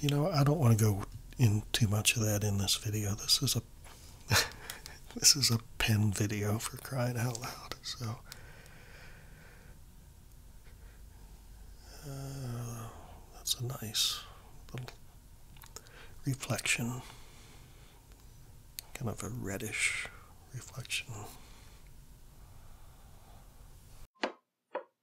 you know, I don't want to go in too much of that in this video. This is a this is a pen video for crying out loud. So uh, that's a nice little reflection, kind of a reddish reflection.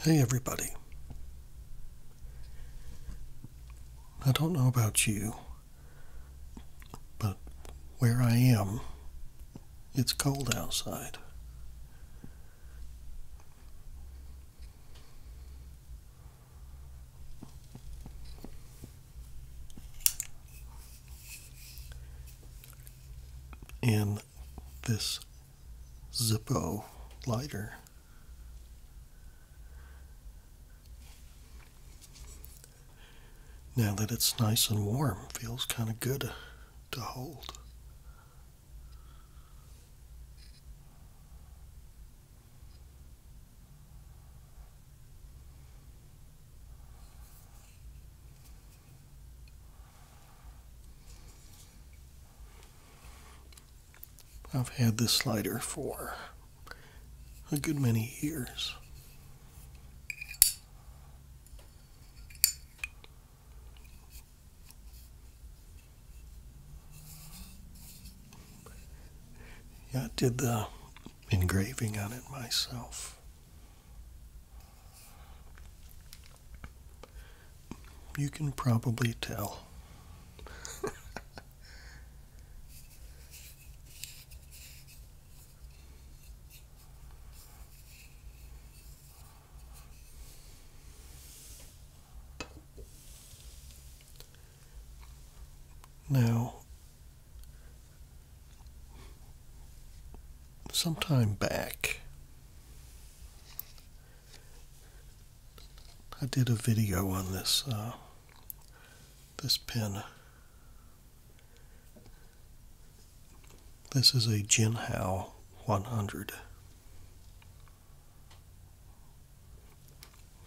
Hey, everybody. I don't know about you, but where I am, it's cold outside. And this Zippo lighter. Now that it's nice and warm, feels kind of good to hold. I've had this slider for a good many years. I did the engraving on it myself. You can probably tell. now, some time back, I did a video on this uh, this pen. This is a Jinhao 100.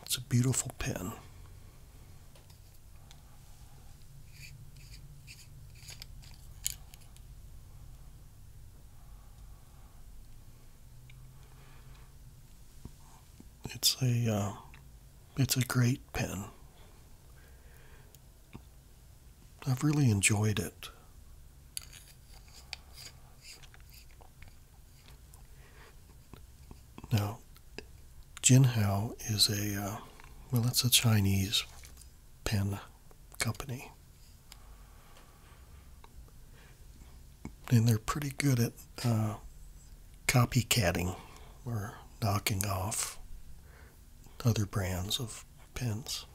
It's a beautiful pen. It's a uh, it's a great pen. I've really enjoyed it. Now, Jinhao is a uh, well, it's a Chinese pen company and they're pretty good at uh, copycatting or knocking off other brands of pens.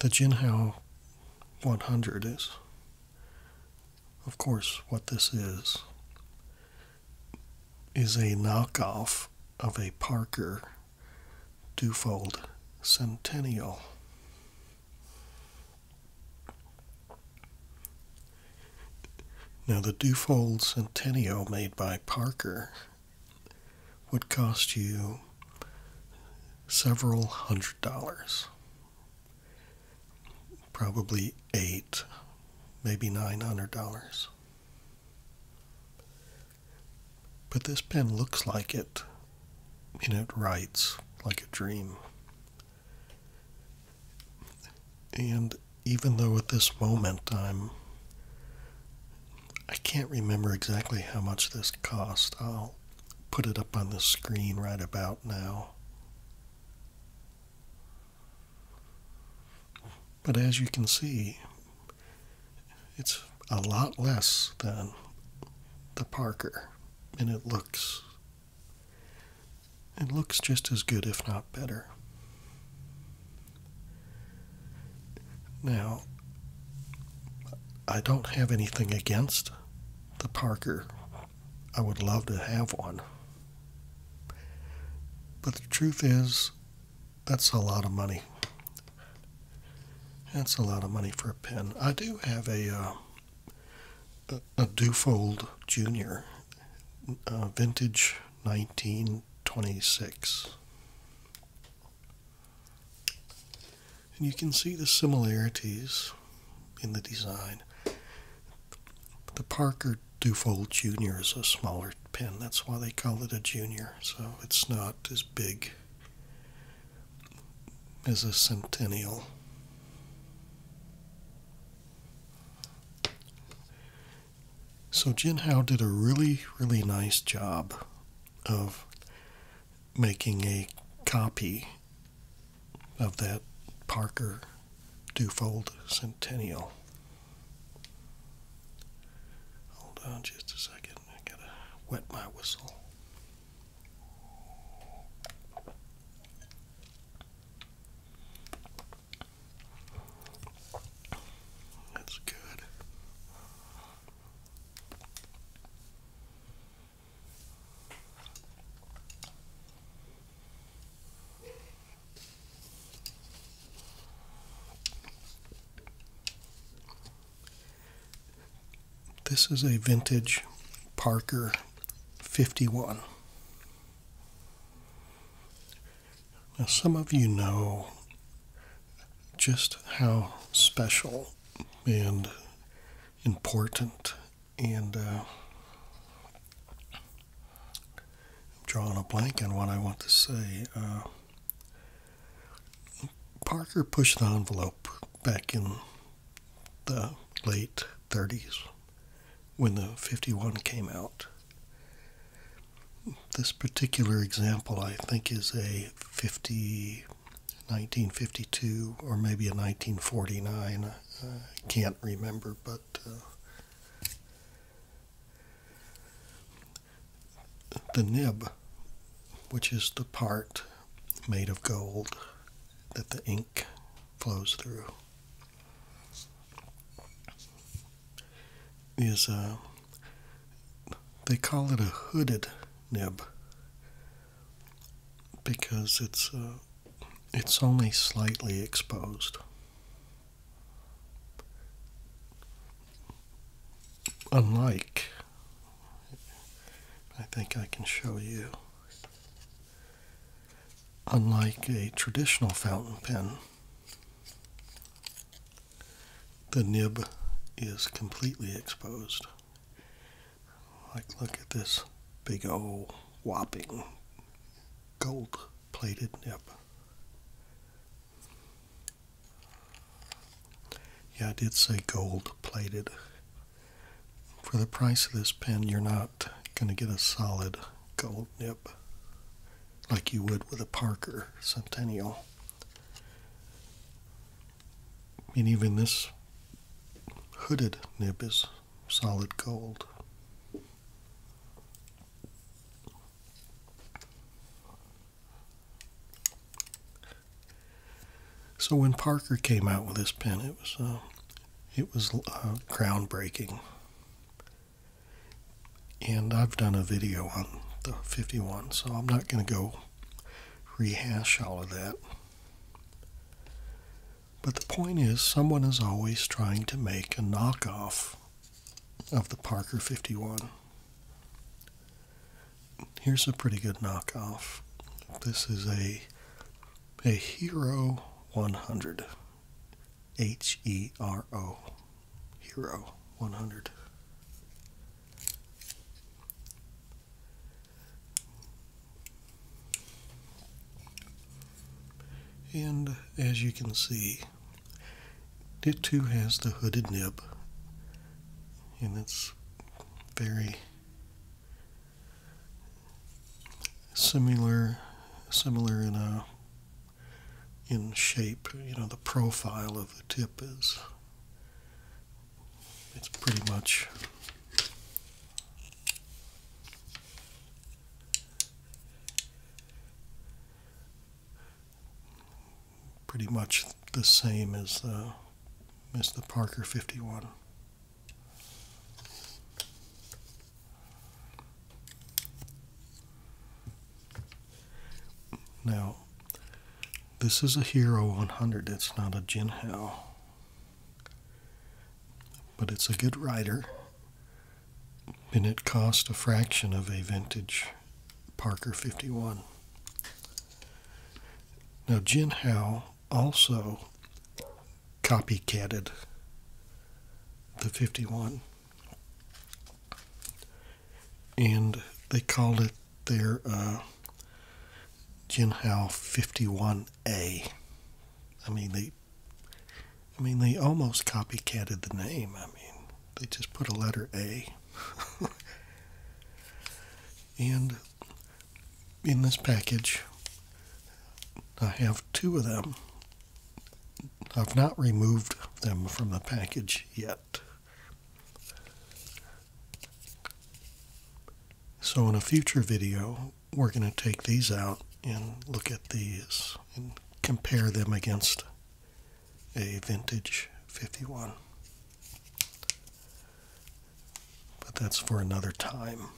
The Jinhao 100 is, of course, what this is is a knockoff of a Parker Dufold Centennial. Now, the Dufold Centennial made by Parker would cost you several hundred dollars, probably eight, maybe nine hundred dollars. But this pen looks like it, and it writes like a dream. And even though at this moment I'm I can't remember exactly how much this cost. I'll put it up on the screen right about now. But as you can see, it's a lot less than the Parker, and it looks it looks just as good, if not better. Now, I don't have anything against the Parker. I would love to have one. But the truth is, that's a lot of money. That's a lot of money for a pen. I do have a uh, a, a Dufold Junior, uh, vintage 1926, and you can see the similarities in the design. The Parker Robert Dufold Jr. is a smaller pen. That's why they call it a junior. So it's not as big as a centennial. So Jin did a really, really nice job of making a copy of that Parker Dufold Centennial. Hold on just a second. I gotta wet my whistle. That's good. This is a vintage Parker 51. Now, some of you know just how special and important and uh, I'm drawing a blank on what I want to say. Uh, Parker pushed the envelope back in the late 30s when the 51 came out. This particular example, I think, is a 50, 1952 or maybe a 1949. I can't remember, but. Uh, the nib, which is the part made of gold that the ink flows through, is uh, they call it a hooded nib because it's uh, it's only slightly exposed unlike. I think I can show you. Unlike a traditional fountain pen, the nib is completely exposed. Like, look at this big old whopping gold plated nib. Yeah, I did say gold plated. For the price of this pen, you're not going to get a solid gold nib like you would with a Parker Centennial. And even this hooded nib is solid gold. So when Parker came out with this pen, it was uh, it was uh, groundbreaking, and I've done a video on the 51, so I'm not going to go rehash all of that. But the point is, someone is always trying to make a knockoff of the Parker 51. Here's a pretty good knockoff. This is a a Hero 100. H E R O. Hero 100. And as you can see, it too has the hooded nib, and it's very similar, similar in a in shape. You know, the profile of the tip is it's pretty much pretty much the same as the as the Parker 51. Now, this is a Hero 100. It's not a Jinhao. But it's a good rider. And it cost a fraction of a vintage Parker 51. Now, Jinhao also copycatted the 51, and they called it their uh, Jinhao 51A. I mean, they, I mean, they almost copycatted the name. I mean, they just put a letter A. and in this package, I have two of them. I've not removed them from the package yet. So in a future video, we're going to take these out and look at these and compare them against a vintage 51. But that's for another time.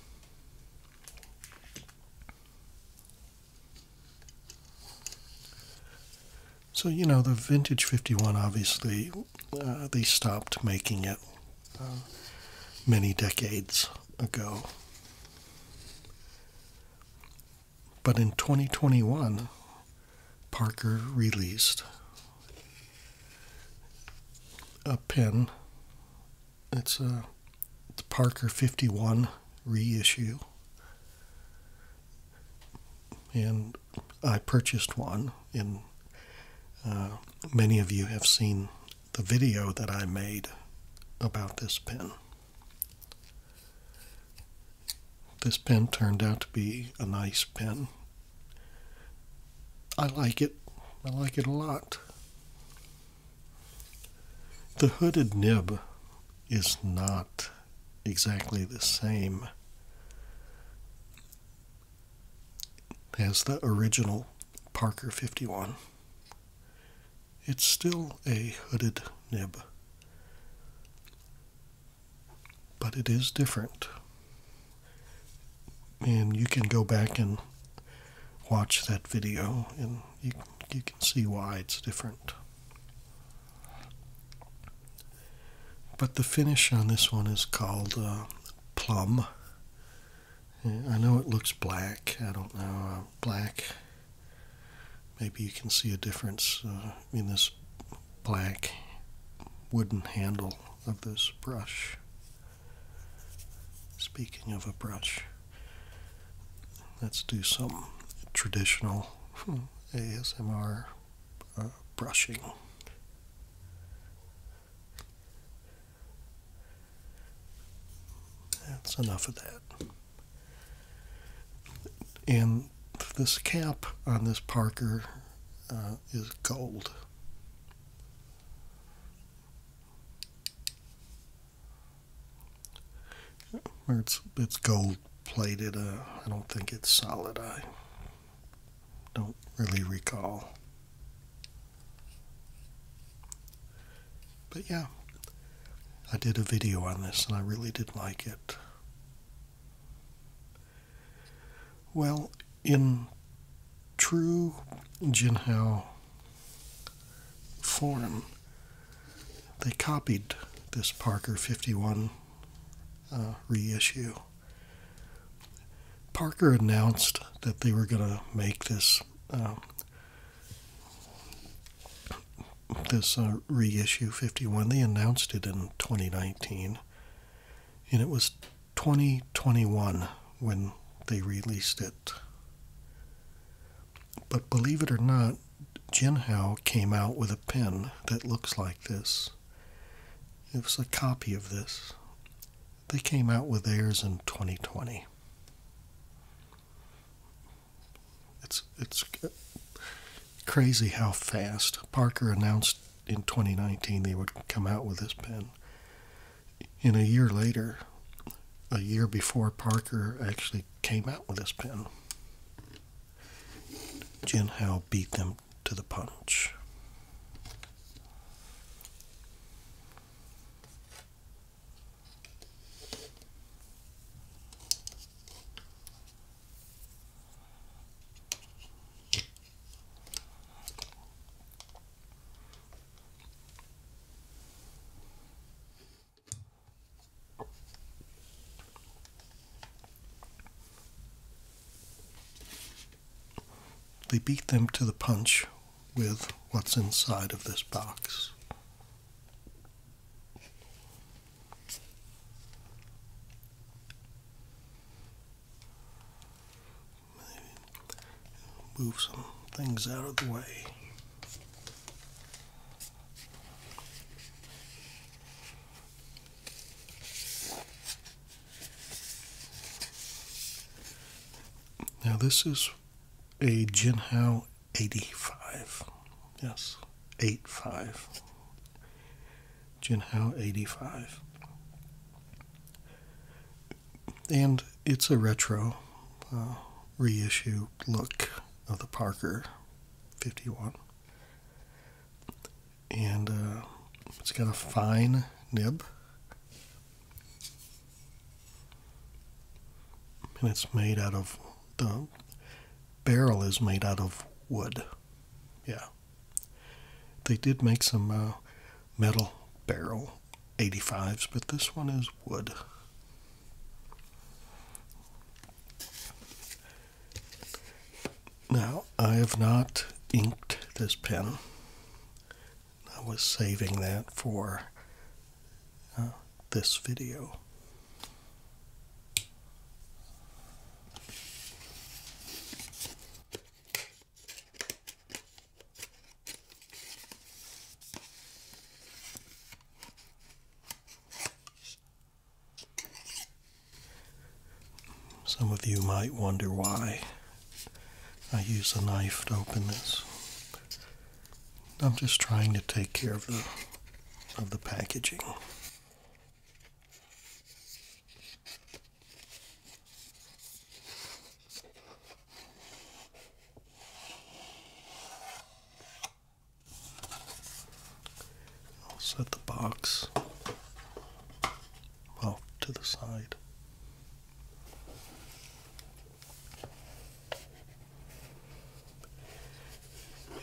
So, you know, the vintage 51, obviously, uh, they stopped making it uh, many decades ago. But in 2021, Parker released a pen. It's a Parker 51 reissue. And I purchased one, and uh, many of you have seen the video that I made about this pen. This pen turned out to be a nice pen. I like it. I like it a lot. The hooded nib is not exactly the same as the original Parker 51. It's still a hooded nib but it is different. And you can go back and watch that video and you, you can see why it's different. But the finish on this one is called uh, Plum. I know it looks black. I don't know. Uh, black maybe you can see a difference uh, in this black wooden handle of this brush. Speaking of a brush, let's do some traditional ASMR uh, brushing. That's enough of that. And this cap on this Parker uh, is gold. it's it's gold plated. Uh, I don't think it's solid. I don't really recall. But yeah, I did a video on this and I really did like it. Well, in true Jinhao form, they copied this Parker 51 uh, reissue. Parker announced that they were going to make this uh, this uh, reissue 51. They announced it in 2019 and it was 2021 when they released it. But believe it or not, Jinhao came out with a pen that looks like this. It was a copy of this. They came out with theirs in 2020. It's it's crazy how fast Parker announced in 2019 they would come out with this pen. And a year later, a year before Parker actually came out with this pen, Jin beat them to the punch. They beat them to the punch with what's inside of this box. Move some things out of the way. Now, this is a Jinhao 85. Yes, 85. Jinhao 85. And it's a retro uh, reissue look of the Parker 51. And uh, it's got a fine nib. And it's made out of the barrel is made out of wood. Yeah. They did make some uh, metal barrel 85s, but this one is wood. Now, I have not inked this pen. I was saving that for uh, this video. Some of you might wonder why I use a knife to open this. I'm just trying to take care of the of the packaging. I'll set the box off to the side.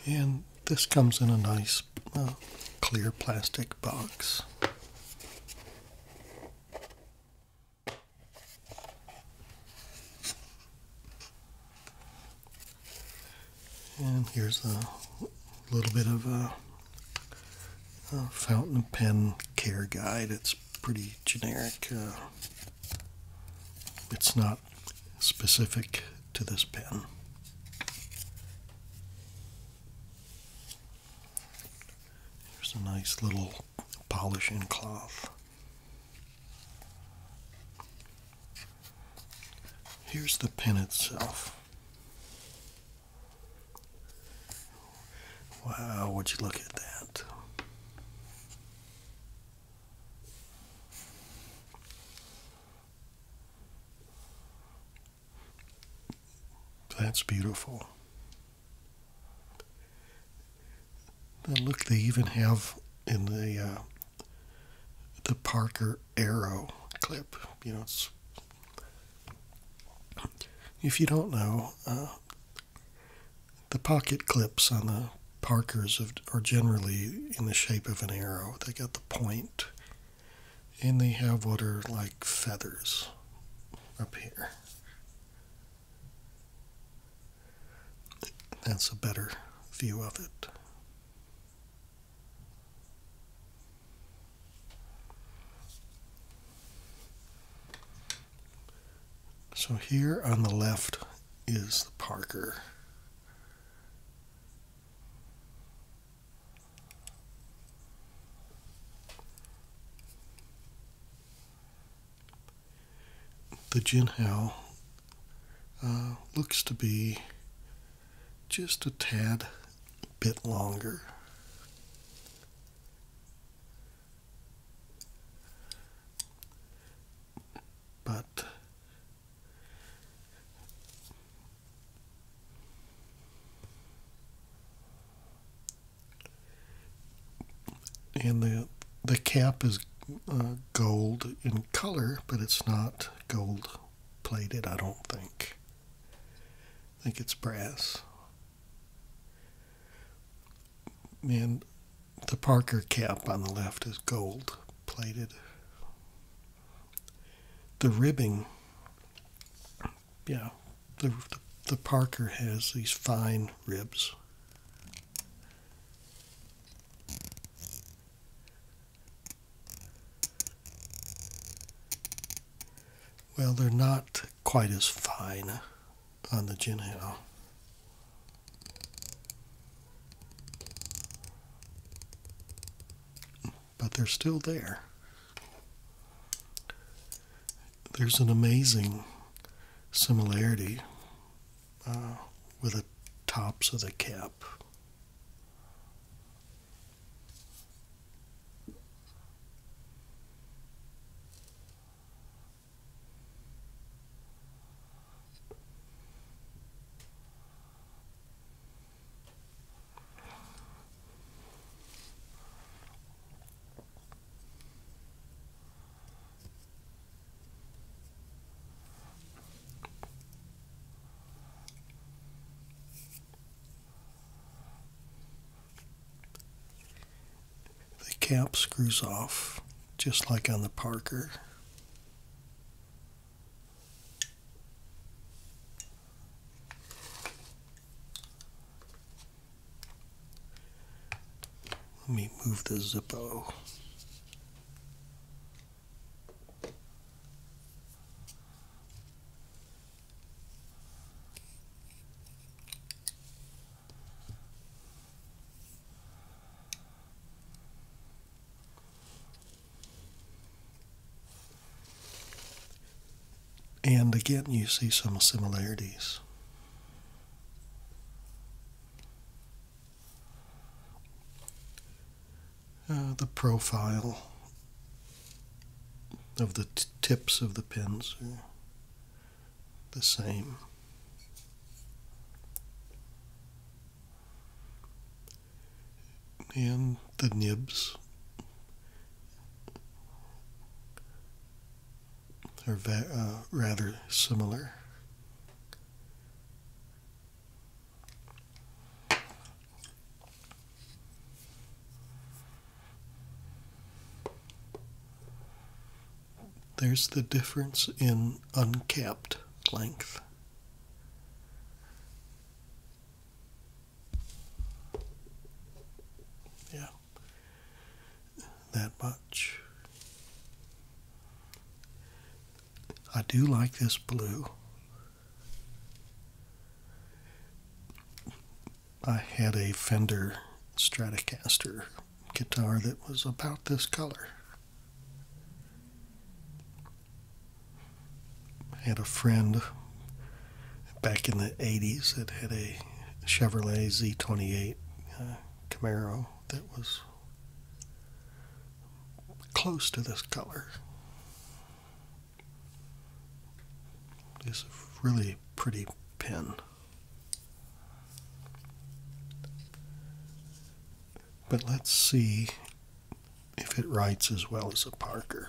And this comes in a nice uh, clear plastic box. And here's a little bit of a, fountain pen care guide. It's pretty generic. Uh, it's not specific to this pen. Here's a nice little polishing cloth. Here's the pin itself. Wow, would you look at that? That's beautiful. And look, they even have in the uh, the Parker arrow clip. You know, if you don't know, uh, the pocket clips on the Parkers are generally in the shape of an arrow. They got the point and they have what are like feathers up here. That's a better view of it. So here on the left is the Parker. The Jinhao uh, looks to be just a tad bit longer. But and the the cap is uh, gold in color, but it's not gold plated. I don't think. I think it's brass. And the Parker cap on the left is gold plated the ribbing. Yeah, the, the, Parker has these fine ribs. Well, they're not quite as fine on the gin but they're still there. There's an amazing similarity uh, with the tops of the cap. The cap screws off just like on the Parker. Let me move the Zippo. And again, you see some similarities. Uh, the profile of the tips of the pins are the same and the nibs are uh, rather similar. There's the difference in uncapped length. Yeah. That much. I do like this blue. I had a Fender Stratocaster guitar that was about this color. I had a friend back in the 80s that had a Chevrolet Z28 uh, Camaro that was close to this color. It's a really pretty pen. But let's see if it writes as well as a Parker.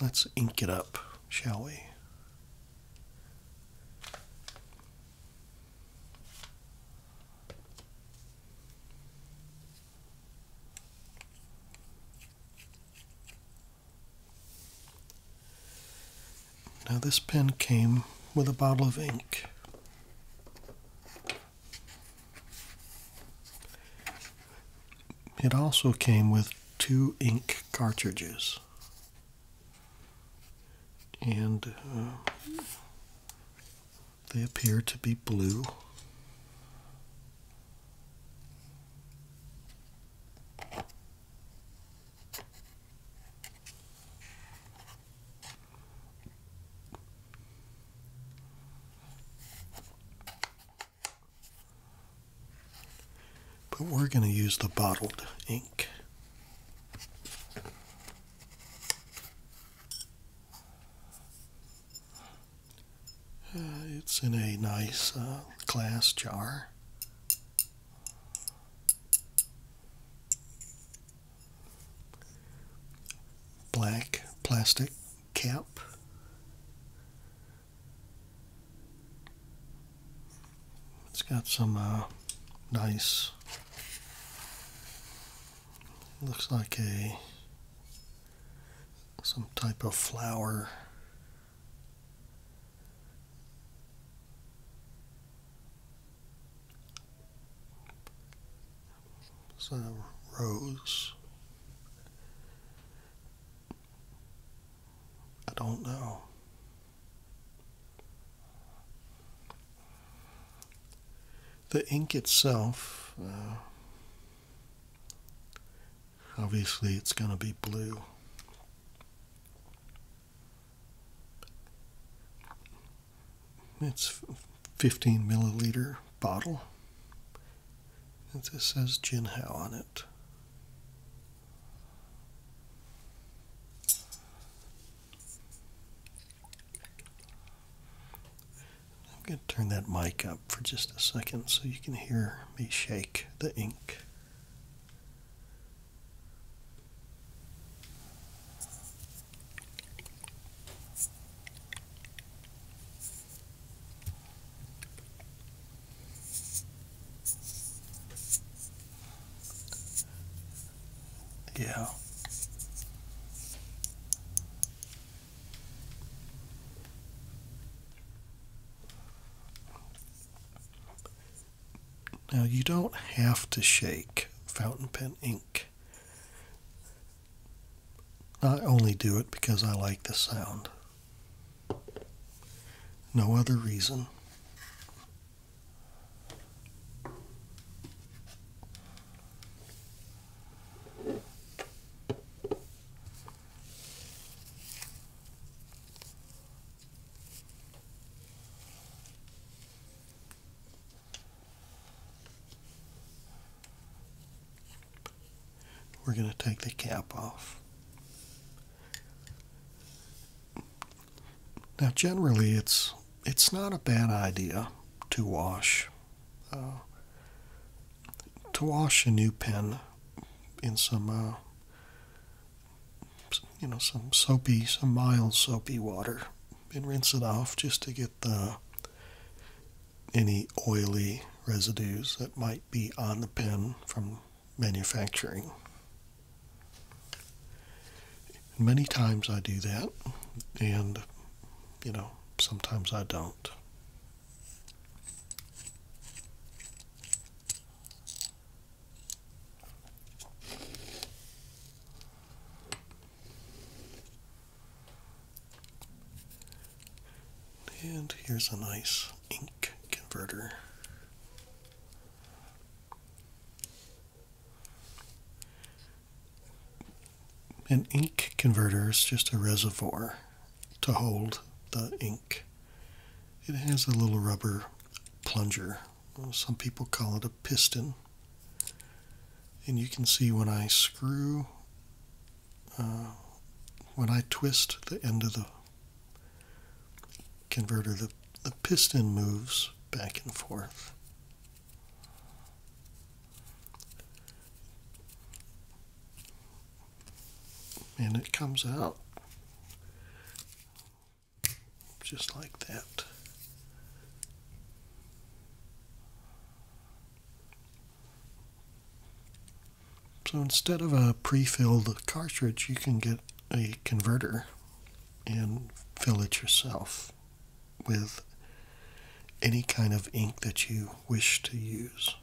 Let's ink it up, shall we? Now, this pen came with a bottle of ink. It also came with two ink cartridges. And uh, they appear to be blue. But we're going to use the bottled ink. Uh, it's in a nice uh, glass jar. Black plastic cap. It's got some uh, nice, looks like a, some type of flower. It's rose. I don't know. The ink itself, uh, obviously, it's going to be blue. It's 15 milliliter bottle this says Jinhao on it. I'm going to turn that mic up for just a second so you can hear me shake the ink. Yeah. Now, you don't have to shake fountain pen ink I only do it because I like the sound. No other reason. We're going to take the cap off. Now, generally, it's it's not a bad idea to wash uh, to wash a new pen in some uh, you know some soapy, some mild soapy water and rinse it off just to get the any oily residues that might be on the pen from manufacturing. Many times I do that, and you know, sometimes I don't. And here's a nice ink converter. An ink converter is just a reservoir to hold the ink. It has a little rubber plunger. Some people call it a piston. And you can see when I screw uh, when I twist the end of the converter, the, the piston moves back and forth. And it comes out just like that. So instead of a pre-filled cartridge, you can get a converter and fill it yourself with any kind of ink that you wish to use.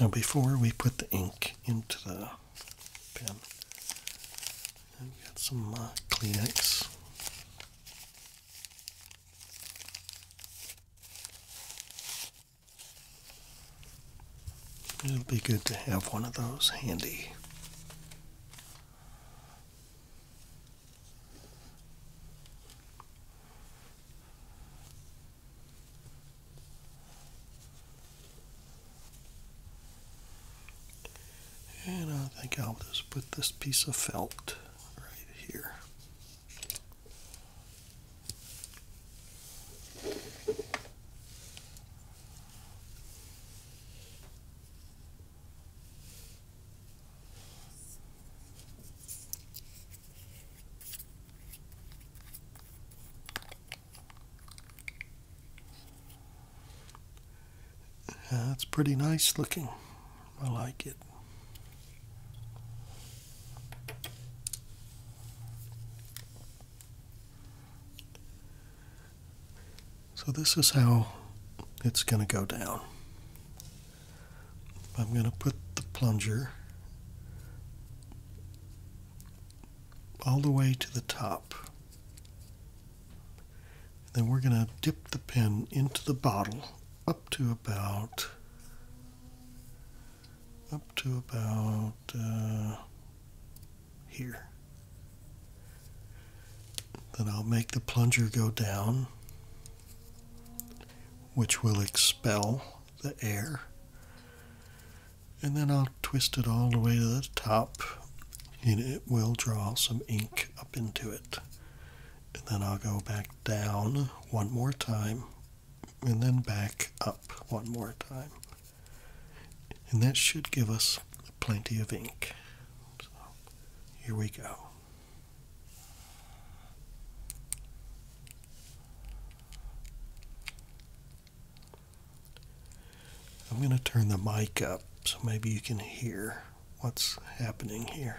Now, before we put the ink into the pen, we got some uh, Kleenex. It'll be good to have one of those handy. And I think I'll just put this piece of felt right here. That's pretty nice looking. I like it. So this is how it's going to go down. I'm going to put the plunger all the way to the top. Then we're going to dip the pen into the bottle up to about up to about uh, here. Then I'll make the plunger go down, which will expel the air. And then I'll twist it all the way to the top and it will draw some ink up into it. And then I'll go back down one more time and then back up one more time. And that should give us plenty of ink. So here we go. I'm going to turn the mic up so maybe you can hear what's happening here.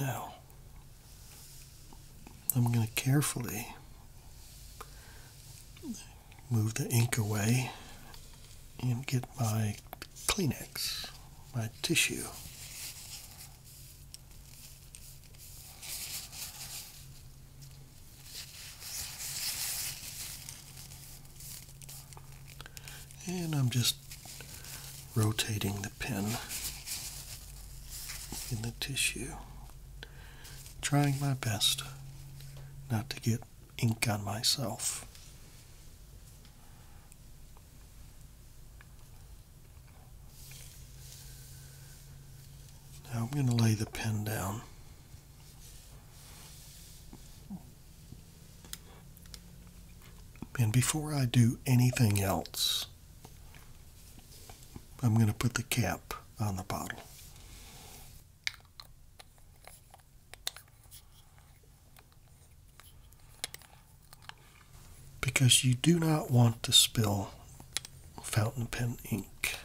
Now, I'm going to carefully move the ink away and get my Kleenex, my tissue and I'm just rotating the pen in the tissue, trying my best not to get ink on myself. Now I'm going to lay the pen down and before I do anything else, I'm going to put the cap on the bottle. Because you do not want to spill fountain pen ink.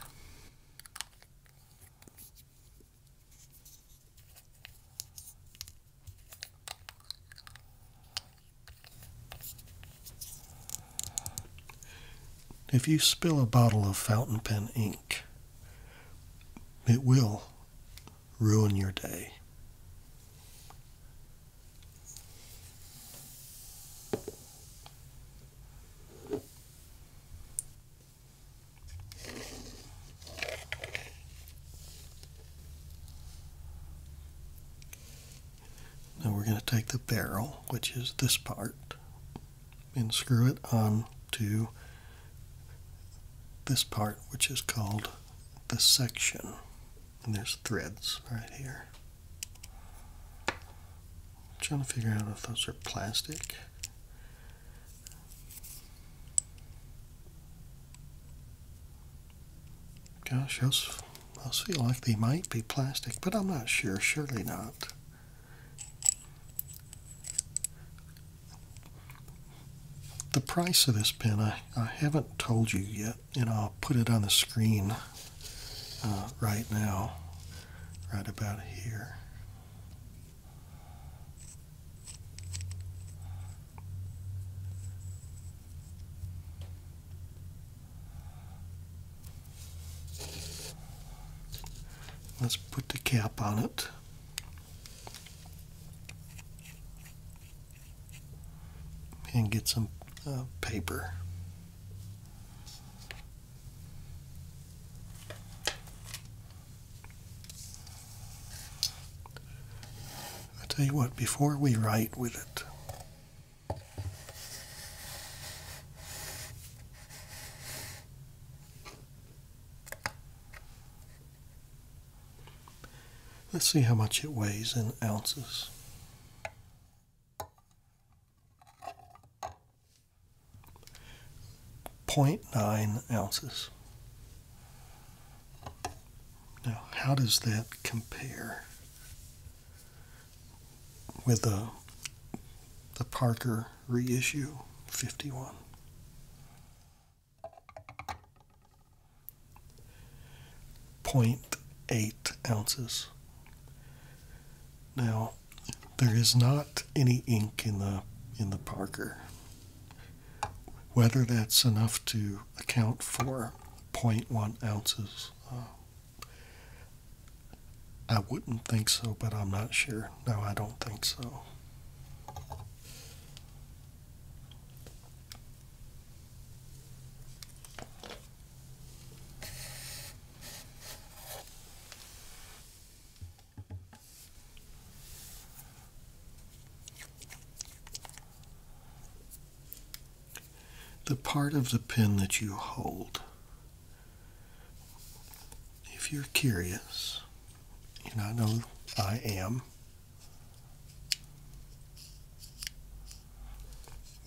If you spill a bottle of fountain pen ink, it will ruin your day. Now we're going to take the barrel, which is this part, and screw it on to this part, which is called the section. And there's threads right here. trying to figure out if those are plastic. Gosh, those, feel like they might be plastic, but I'm not sure. Surely not. The price of this pen, I, I haven't told you yet, and I'll put it on the screen uh, right now, right about here. Let's put the cap on it. And get some uh, paper. I tell you what, before we write with it, Let's see how much it weighs in ounces. Point nine ounces. Now, how does that compare with the, the Parker reissue 51? Point eight ounces. Now, there is not any ink in the in the Parker. Whether that's enough to account for 0.1 ounces. Uh, I wouldn't think so, but I'm not sure. No, I don't think so the part of the pen that you hold. If you're curious, and I know I am,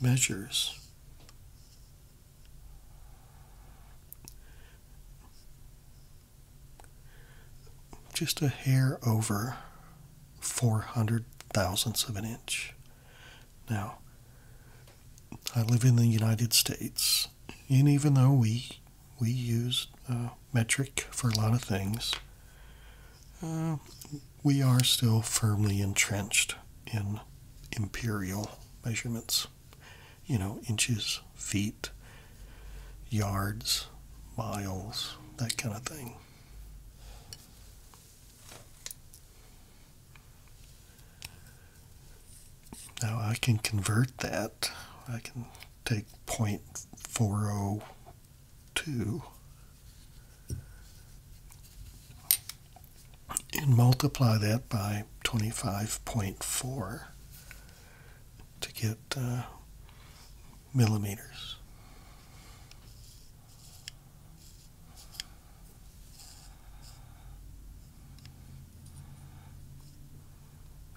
measures just a hair over 400 thousandths of an inch. Now, I live in the United States, and even though we we use uh, metric for a lot of things, uh, we are still firmly entrenched in imperial measurements. You know, inches, feet, yards, miles, that kind of thing. Now I can convert that. I can take 0.402 and multiply that by 25.4 to get uh, millimeters.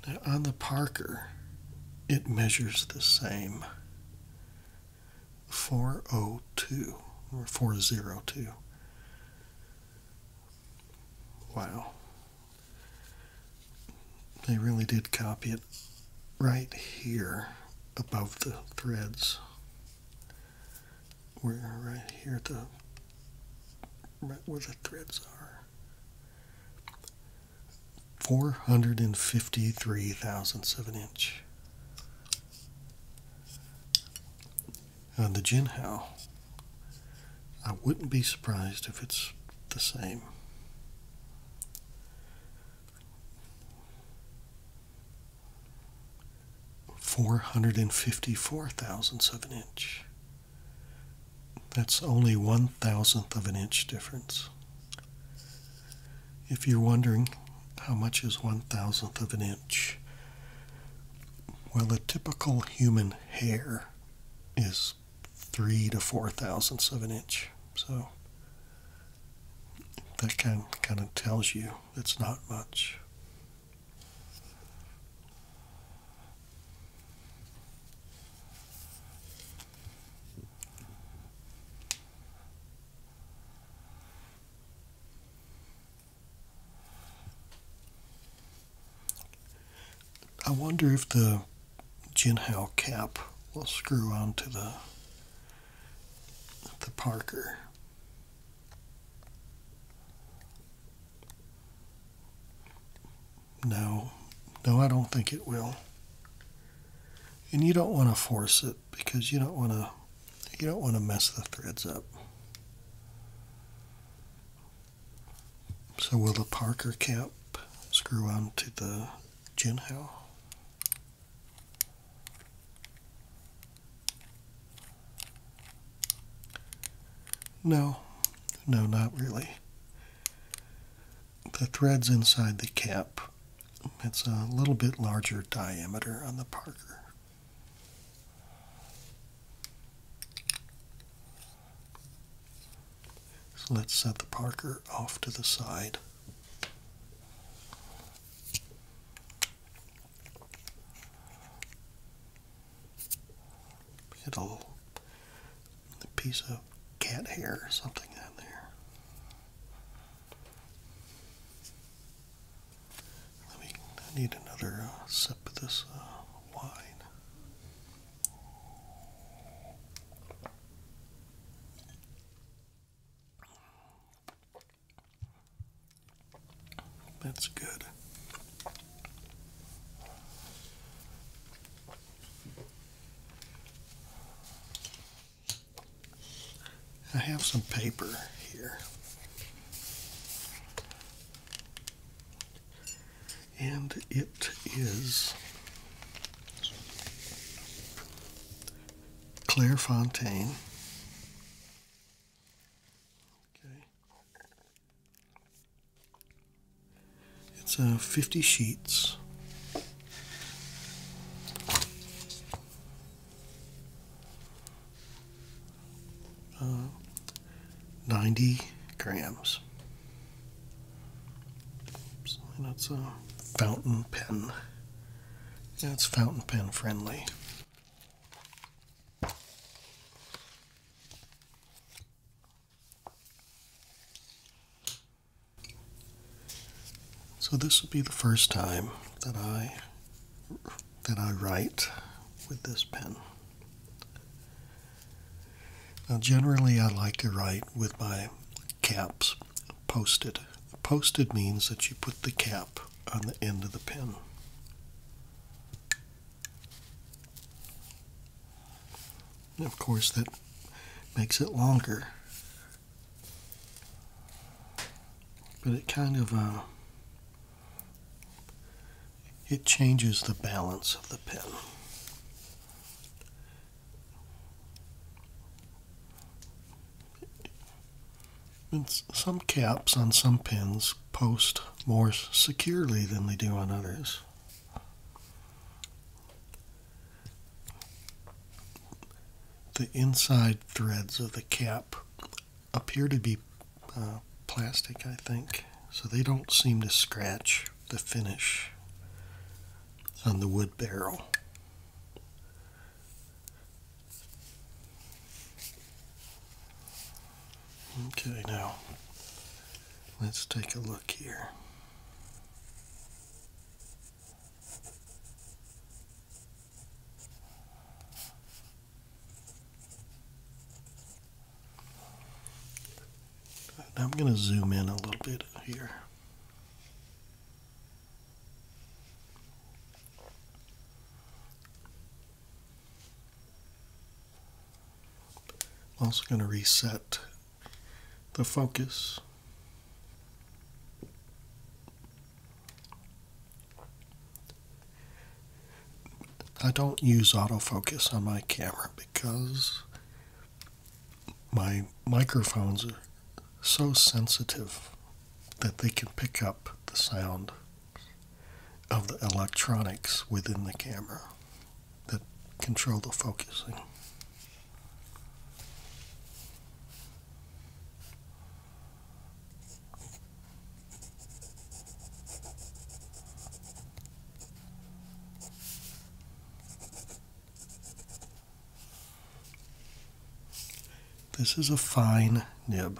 Now on the Parker, it measures the same 402 or 402. Wow. They really did copy it right here above the threads. We're right here the right where the threads are. 453 thousandths of an inch. On the Jinhao, I wouldn't be surprised if it's the same. Four hundred and fifty four thousandths of an inch. That's only one thousandth of an inch difference. If you're wondering how much is one thousandth of an inch, well, a typical human hair is three to four thousandths of an inch. So that kind, kind of tells you it's not much. I wonder if the Jinhao cap will screw onto the the Parker. No, no, I don't think it will. And you don't want to force it because you don't want to you don't want to mess the threads up. So will the Parker cap screw onto the Jinhao? No, no, not really. The thread's inside the cap. It's a little bit larger diameter on the Parker. So let's set the Parker off to the side. Get a piece of cat hair or something down there. Let me. I need another uh, sip of this uh, wine. That's good. I have some paper here. And it is Claire Fontaine. Okay. It's a uh, 50 sheets. Uh, 90 grams. that's a fountain pen. It's fountain pen friendly. So this will be the first time that I that I write with this pen. Now generally I like to write with my caps posted. Posted means that you put the cap on the end of the pin. of course, that makes it longer. But it kind of uh, it changes the balance of the pin some caps on some pins post more securely than they do on others. The inside threads of the cap appear to be uh, plastic, I think, so they don't seem to scratch the finish on the wood barrel. Okay, now let's take a look here. I'm going to zoom in a little bit here. I'm also going to reset the focus. I don't use autofocus on my camera because my microphones are so sensitive that they can pick up the sound of the electronics within the camera that control the focusing. This is a fine nib.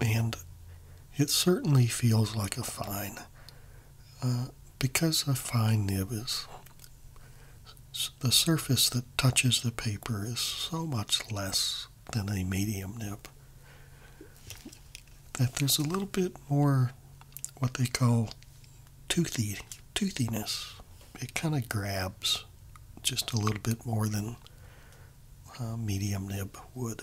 And it certainly feels like a fine uh, because a fine nib is the surface that touches the paper is so much less than a medium nib that there's a little bit more what they call toothy toothiness. It kind of grabs just a little bit more than uh, medium nib would.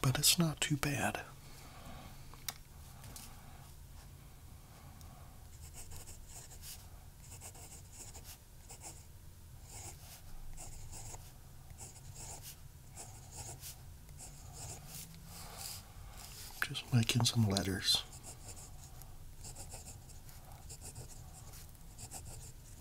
But it's not too bad. Just making some letters.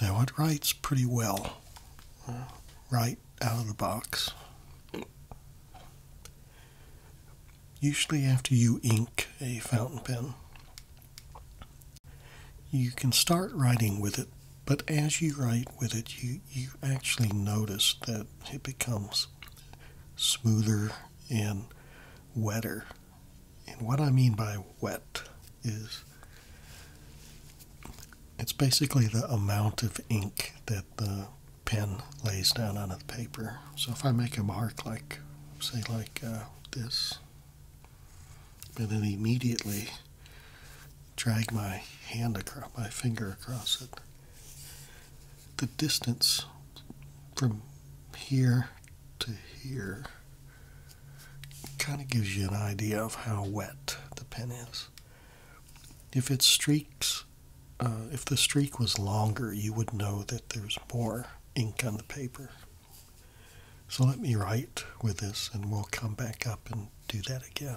Now it writes pretty well, right out of the box. Usually, after you ink a fountain pen, you can start writing with it, but as you write with it, you, you actually notice that it becomes smoother and wetter. And what I mean by wet is it's basically the amount of ink that the pen lays down on the paper. So if I make a mark like, say, like uh, this, and then immediately drag my hand across, my finger across it, the distance from here to here kind of gives you an idea of how wet the pen is. If it streaks, uh, if the streak was longer, you would know that there's more ink on the paper. So let me write with this and we'll come back up and do that again.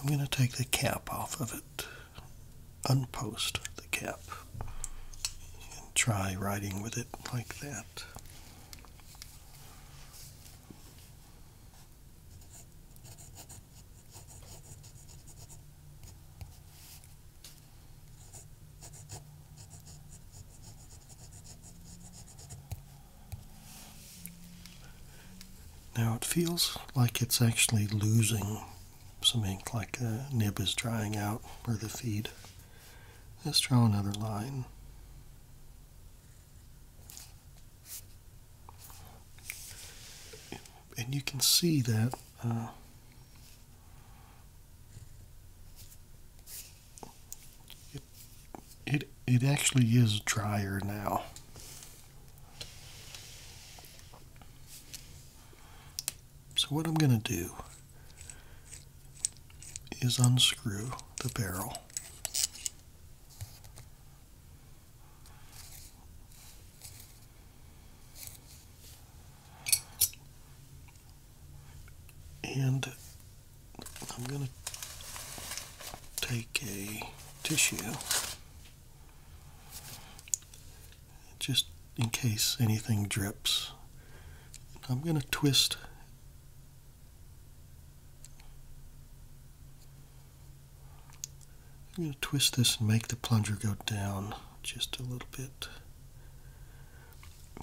I'm going to take the cap off of it, unpost the cap, and try writing with it like that. Now it feels like it's actually losing some ink, like the nib is drying out or the feed. Let's draw another line. And you can see that it, uh, it it actually is drier now. So what I'm going to do is unscrew the barrel. And I'm going to take a tissue just in case anything drips. I'm going to twist I'm going to twist this and make the plunger go down just a little bit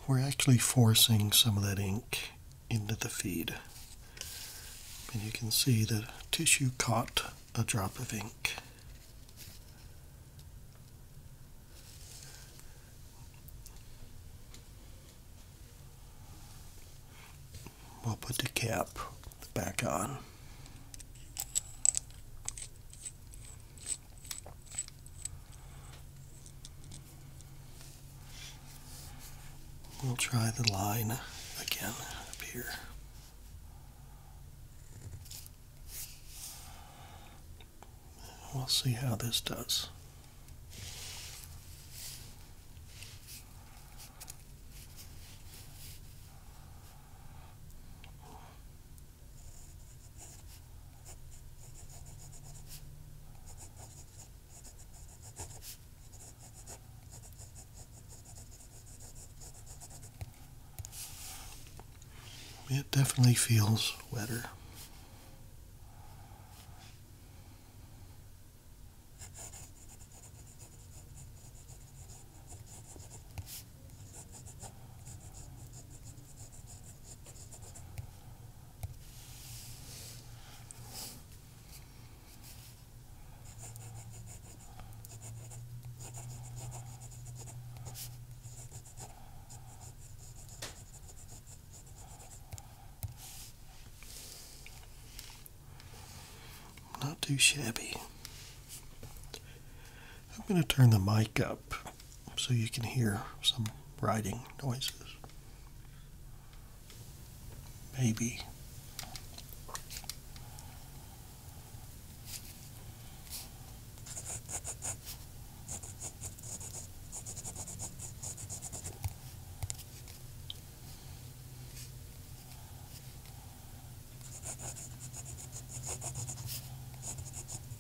we're actually forcing some of that ink into the feed. And you can see the tissue caught a drop of ink. We'll put the cap back on. We'll try the line again up here. We'll see how this does. It definitely feels wetter. Not too shabby. I'm going to turn the mic up so you can hear some writing noises. Maybe.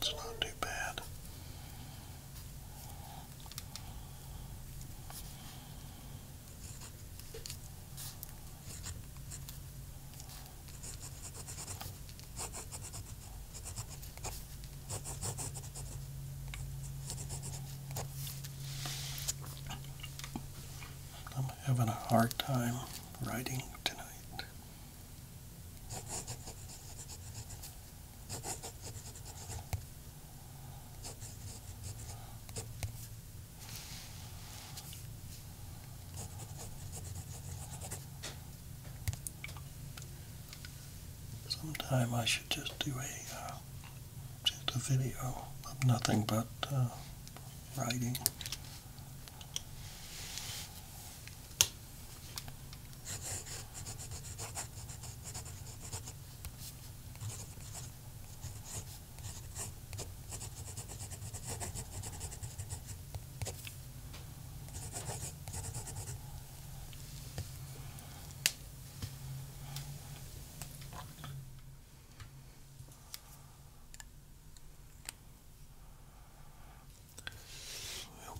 It's not too bad. I'm having a hard time writing tonight. Sometime I should just do a uh, just a video of nothing but uh, writing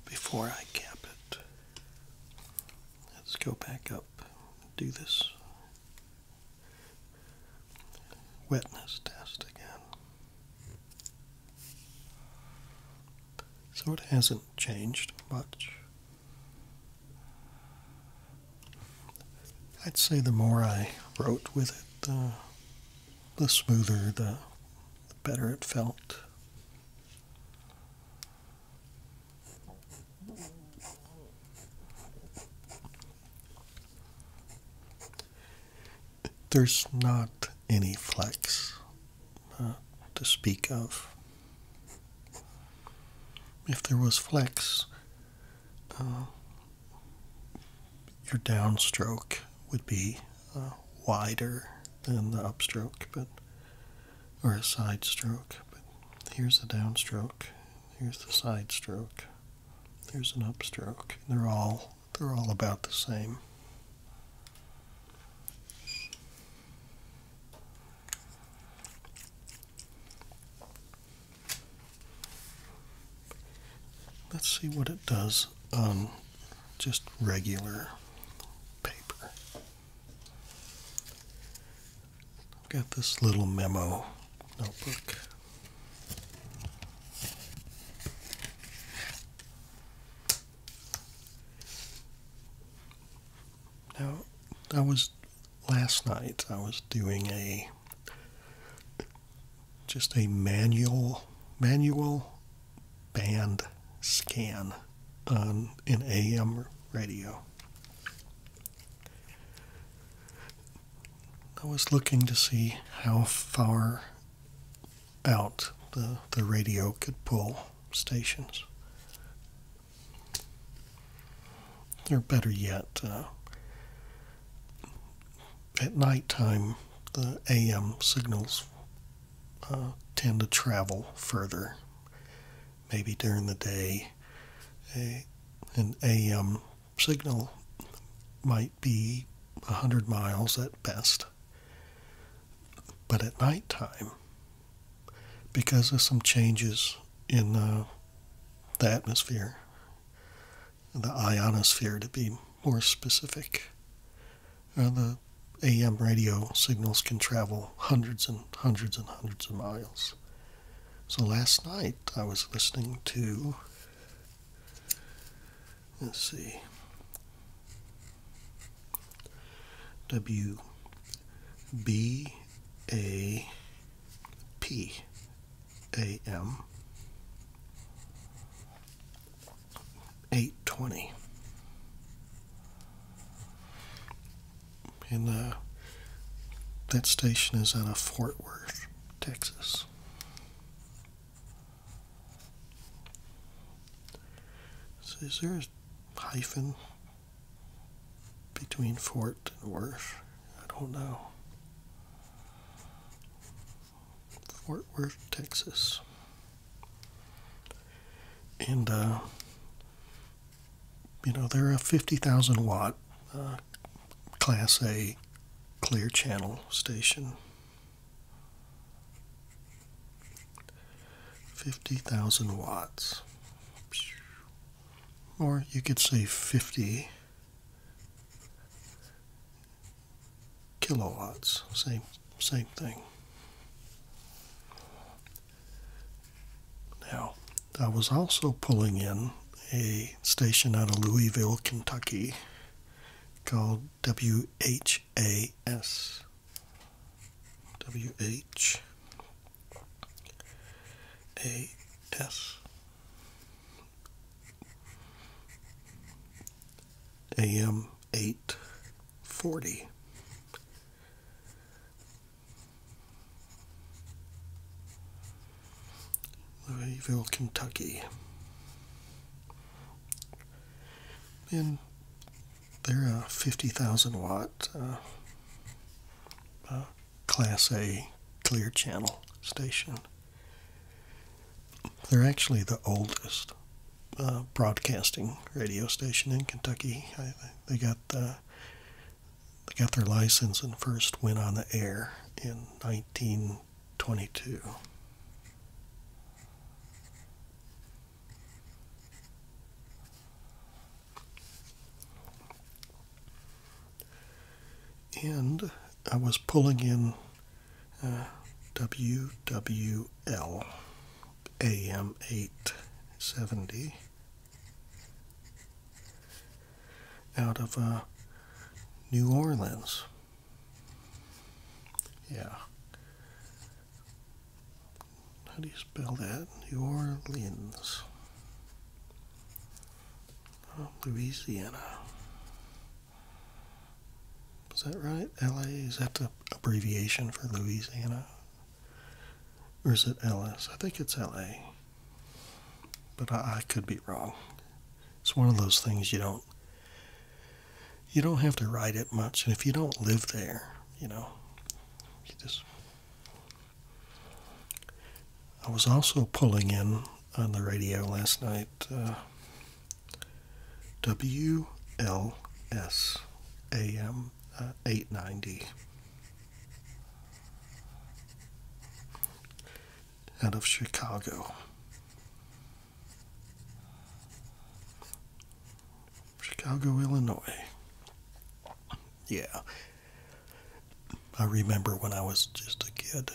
before I cap it, let's go back up and do this wetness test again. So it hasn't changed much. I'd say the more I wrote with it, the, smoother, the better it felt. There's not any flex uh, to speak of. If there was flex, uh, your downstroke would be uh, wider than the upstroke, but or a side stroke. But here's the downstroke, here's the side stroke, here's an upstroke. They're all they're all about the same. Let's see what it does on um, just regular paper. I've got this little memo notebook. Now, I was last night, I was doing a just a manual manual band scan on an AM radio. I was looking to see how far out the, the radio could pull stations. Or better yet, uh, at nighttime, the AM signals uh, tend to travel further. Maybe during the day, a, an AM signal might be 100 miles at best. But at nighttime, because of some changes in uh, the atmosphere, the ionosphere to be more specific. Uh, the AM radio signals can travel hundreds and hundreds and hundreds of miles. So last night I was listening to, let's see, W B A P A M 820. And uh, that station is out of Fort Worth, Texas. is there a hyphen between Fort Worth. I don't know. Fort Worth, Texas. And, uh, you know, they're a 50,000 watt uh, Class A clear channel station. 50,000 watts or you could say 50 kilowatts. Same, same thing. Now, I was also pulling in a station out of Louisville, Kentucky called WHAS. WH a S AM eight forty. Louisville, Kentucky. And they're a 50,000 watt uh, uh, Class A clear channel station. They're actually the oldest uh, broadcasting radio station in Kentucky. I, they got uh, they got their license and first went on the air in 1922. And I was pulling in uh, WWL AM 870 out of uh, New Orleans. Yeah. How do you spell that? New Orleans, oh, Louisiana. Is that right? LA? Is that the abbreviation for Louisiana? Or is it LS? I think it's LA. But I could be wrong. It's one of those things you don't you don't have to write it much and if you don't live there, you know, you just I was also pulling in on the radio last night uh, WLS AM uh, 890 out of Chicago. Chicago, Illinois. Yeah, I remember when I was just a kid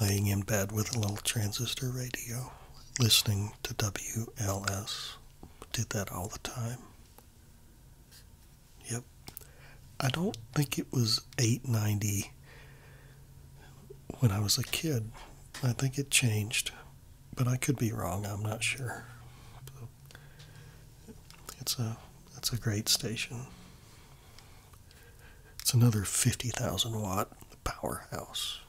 laying in bed with a little transistor radio, listening to WLS. Did that all the time. Yep. I don't think it was 890 when I was a kid. I think it changed, but I could be wrong. I'm not sure. It's a it's a great station. It's another 50,000 watt powerhouse.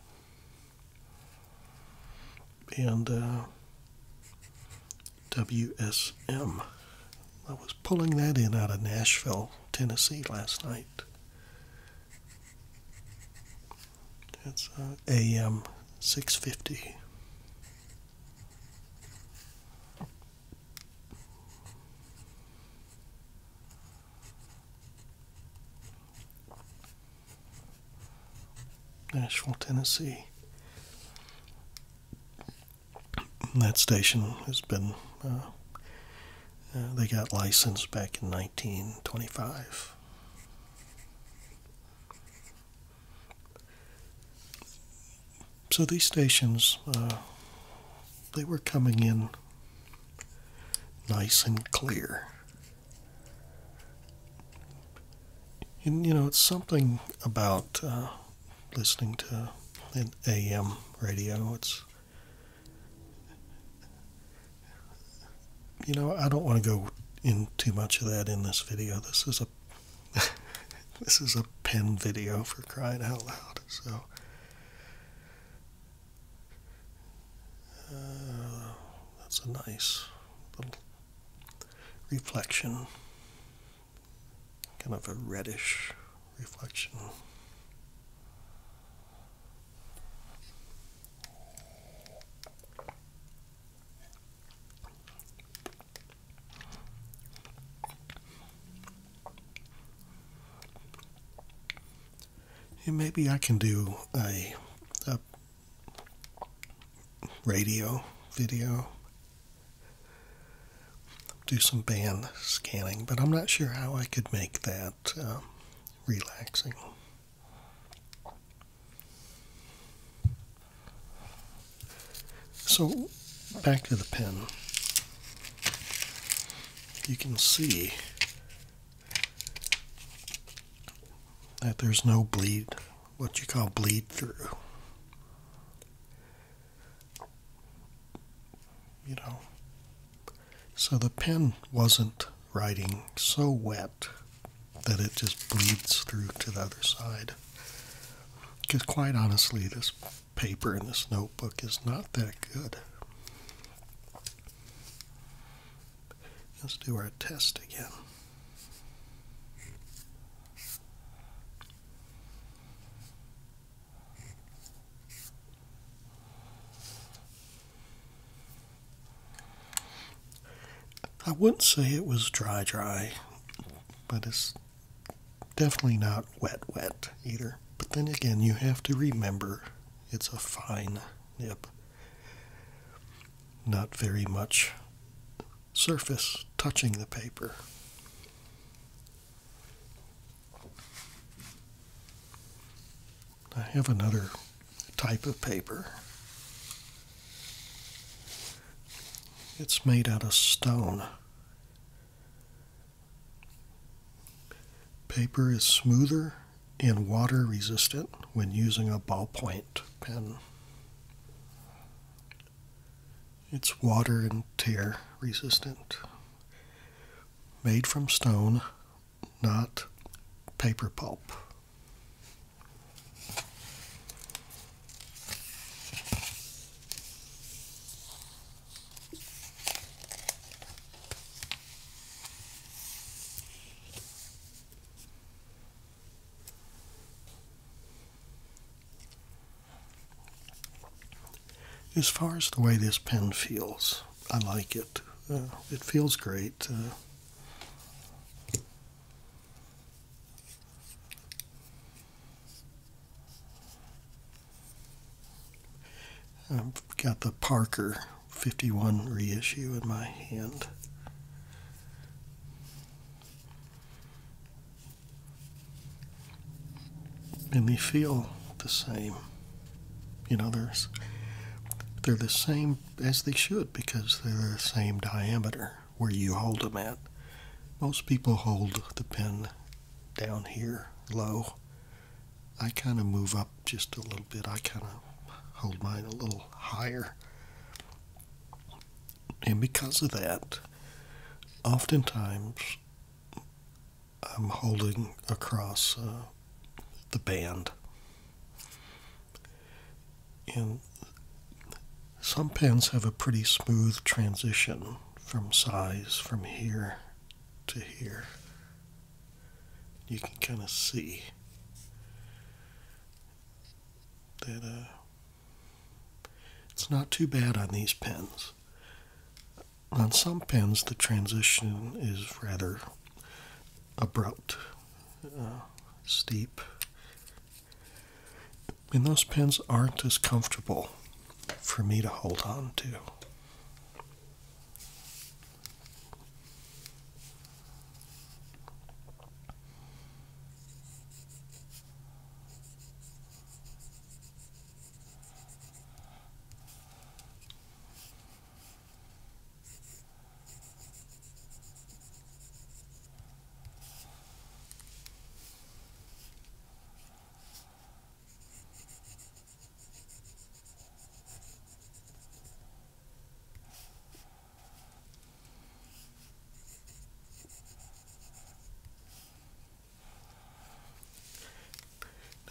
And uh, WSM. I was pulling that in out of Nashville, Tennessee last night. It's uh, AM 650. Nashville, Tennessee. That station has been, uh, uh, they got licensed back in 1925. So these stations, uh, they were coming in nice and clear. And you know, it's something about uh, listening to an AM radio. It's you know, I don't want to go into much of that in this video. This is a this is a pen video for crying out loud. So uh, that's a nice little reflection, kind of a reddish reflection maybe I can do a, radio video, do some band scanning, but I'm not sure how I could make that um, relaxing. So, back to the pen. You can see that there's no bleed, what you call bleed through. You know, so the pen wasn't writing so wet that it just bleeds through to the other side. Because quite honestly, this paper in this notebook is not that good. Let's do our test again. I wouldn't say it was dry, dry, but it's definitely not wet, wet either. But then again, you have to remember it's a fine nib. Not very much surface touching the paper. I have another type of paper. It's made out of stone. Paper is smoother and water resistant when using a ballpoint pen. It's water and tear resistant. Made from stone, not paper pulp. As far as the way this pen feels, I like it. Uh, it feels great. Uh, I've got the Parker 51 reissue in my hand. And they feel the same. You know, there's, they're the same as they should because they're the same diameter where you hold them at. Most people hold the pen down here low. I kind of move up just a little bit. I kind of hold mine a little higher. And because of that, oftentimes I'm holding across uh, the band. And some pens have a pretty smooth transition from size from here to here. You can kind of see that uh, it's not too bad on these pens. On some pens, the transition is rather abrupt, uh, steep, and those pens aren't as comfortable for me to hold on to.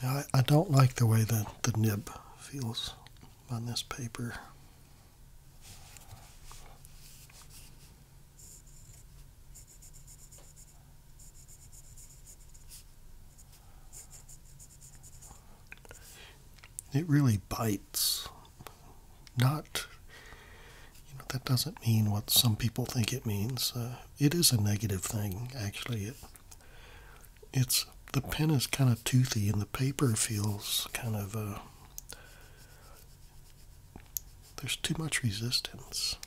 I, I don't like the way that the nib feels on this paper. It really bites. Not, you know, that doesn't mean what some people think it means. Uh, it is a negative thing, actually. It, it's the pen is kind of toothy, and the paper feels kind of. Uh, there's too much resistance.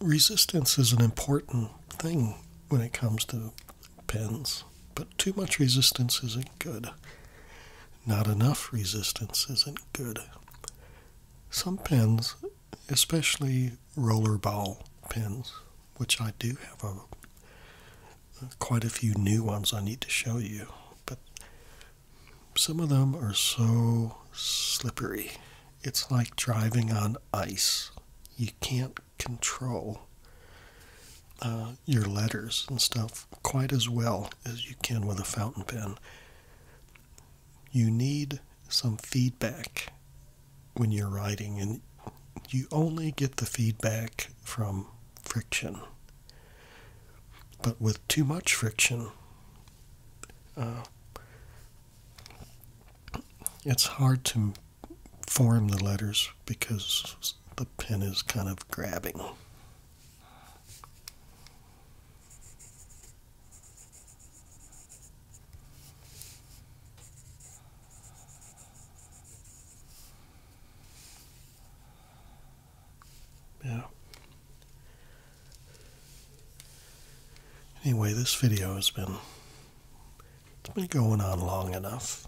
resistance is an important thing when it comes to pens, but too much resistance isn't good. Not enough resistance isn't good. Some pens, especially roller ball pens, which I do have a, quite a few new ones I need to show you, but some of them are so slippery. It's like driving on ice. You can't control uh, your letters and stuff quite as well as you can with a fountain pen. You need some feedback when you're writing, and you only get the feedback from friction. But with too much friction, uh, it's hard to form the letters because the pen is kind of grabbing. Yeah. Anyway, this video has been it's been going on long enough.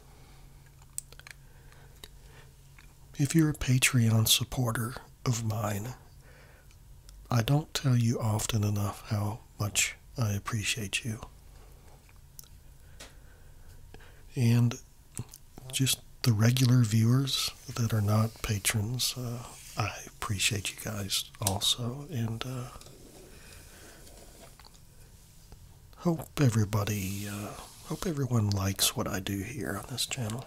If you're a Patreon supporter of mine, I don't tell you often enough how much I appreciate you. And just the regular viewers that are not patrons, uh, I appreciate you guys also. And uh, hope everybody, uh, hope everyone likes what I do here on this channel.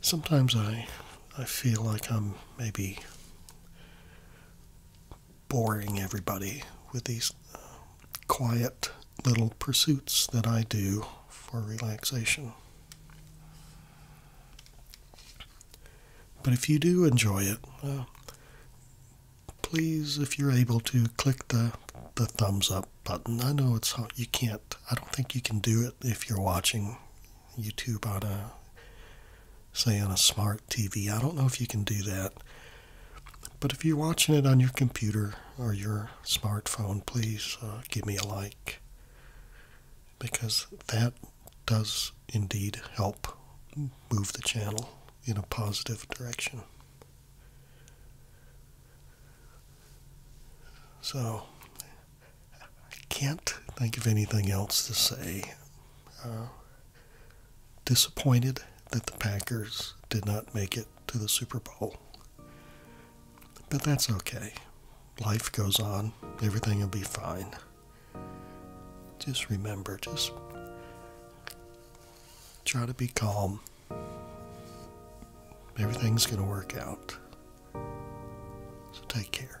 Sometimes I, I feel like I'm maybe boring everybody with these um, quiet little pursuits that I do for relaxation. But if you do enjoy it, uh, please, if you're able to, click the, the thumbs up button. I know it's hard. You can't, I don't think you can do it if you're watching YouTube on a, say, on a smart TV. I don't know if you can do that. But if you're watching it on your computer or your smartphone, please uh, give me a like because that does indeed help move the channel in a positive direction. So, I can't think of anything else to say. Uh, disappointed that the Packers did not make it to the Super Bowl. But that's okay. Life goes on, everything will be fine. Just remember, just try to be calm. Everything's going to work out. So take care.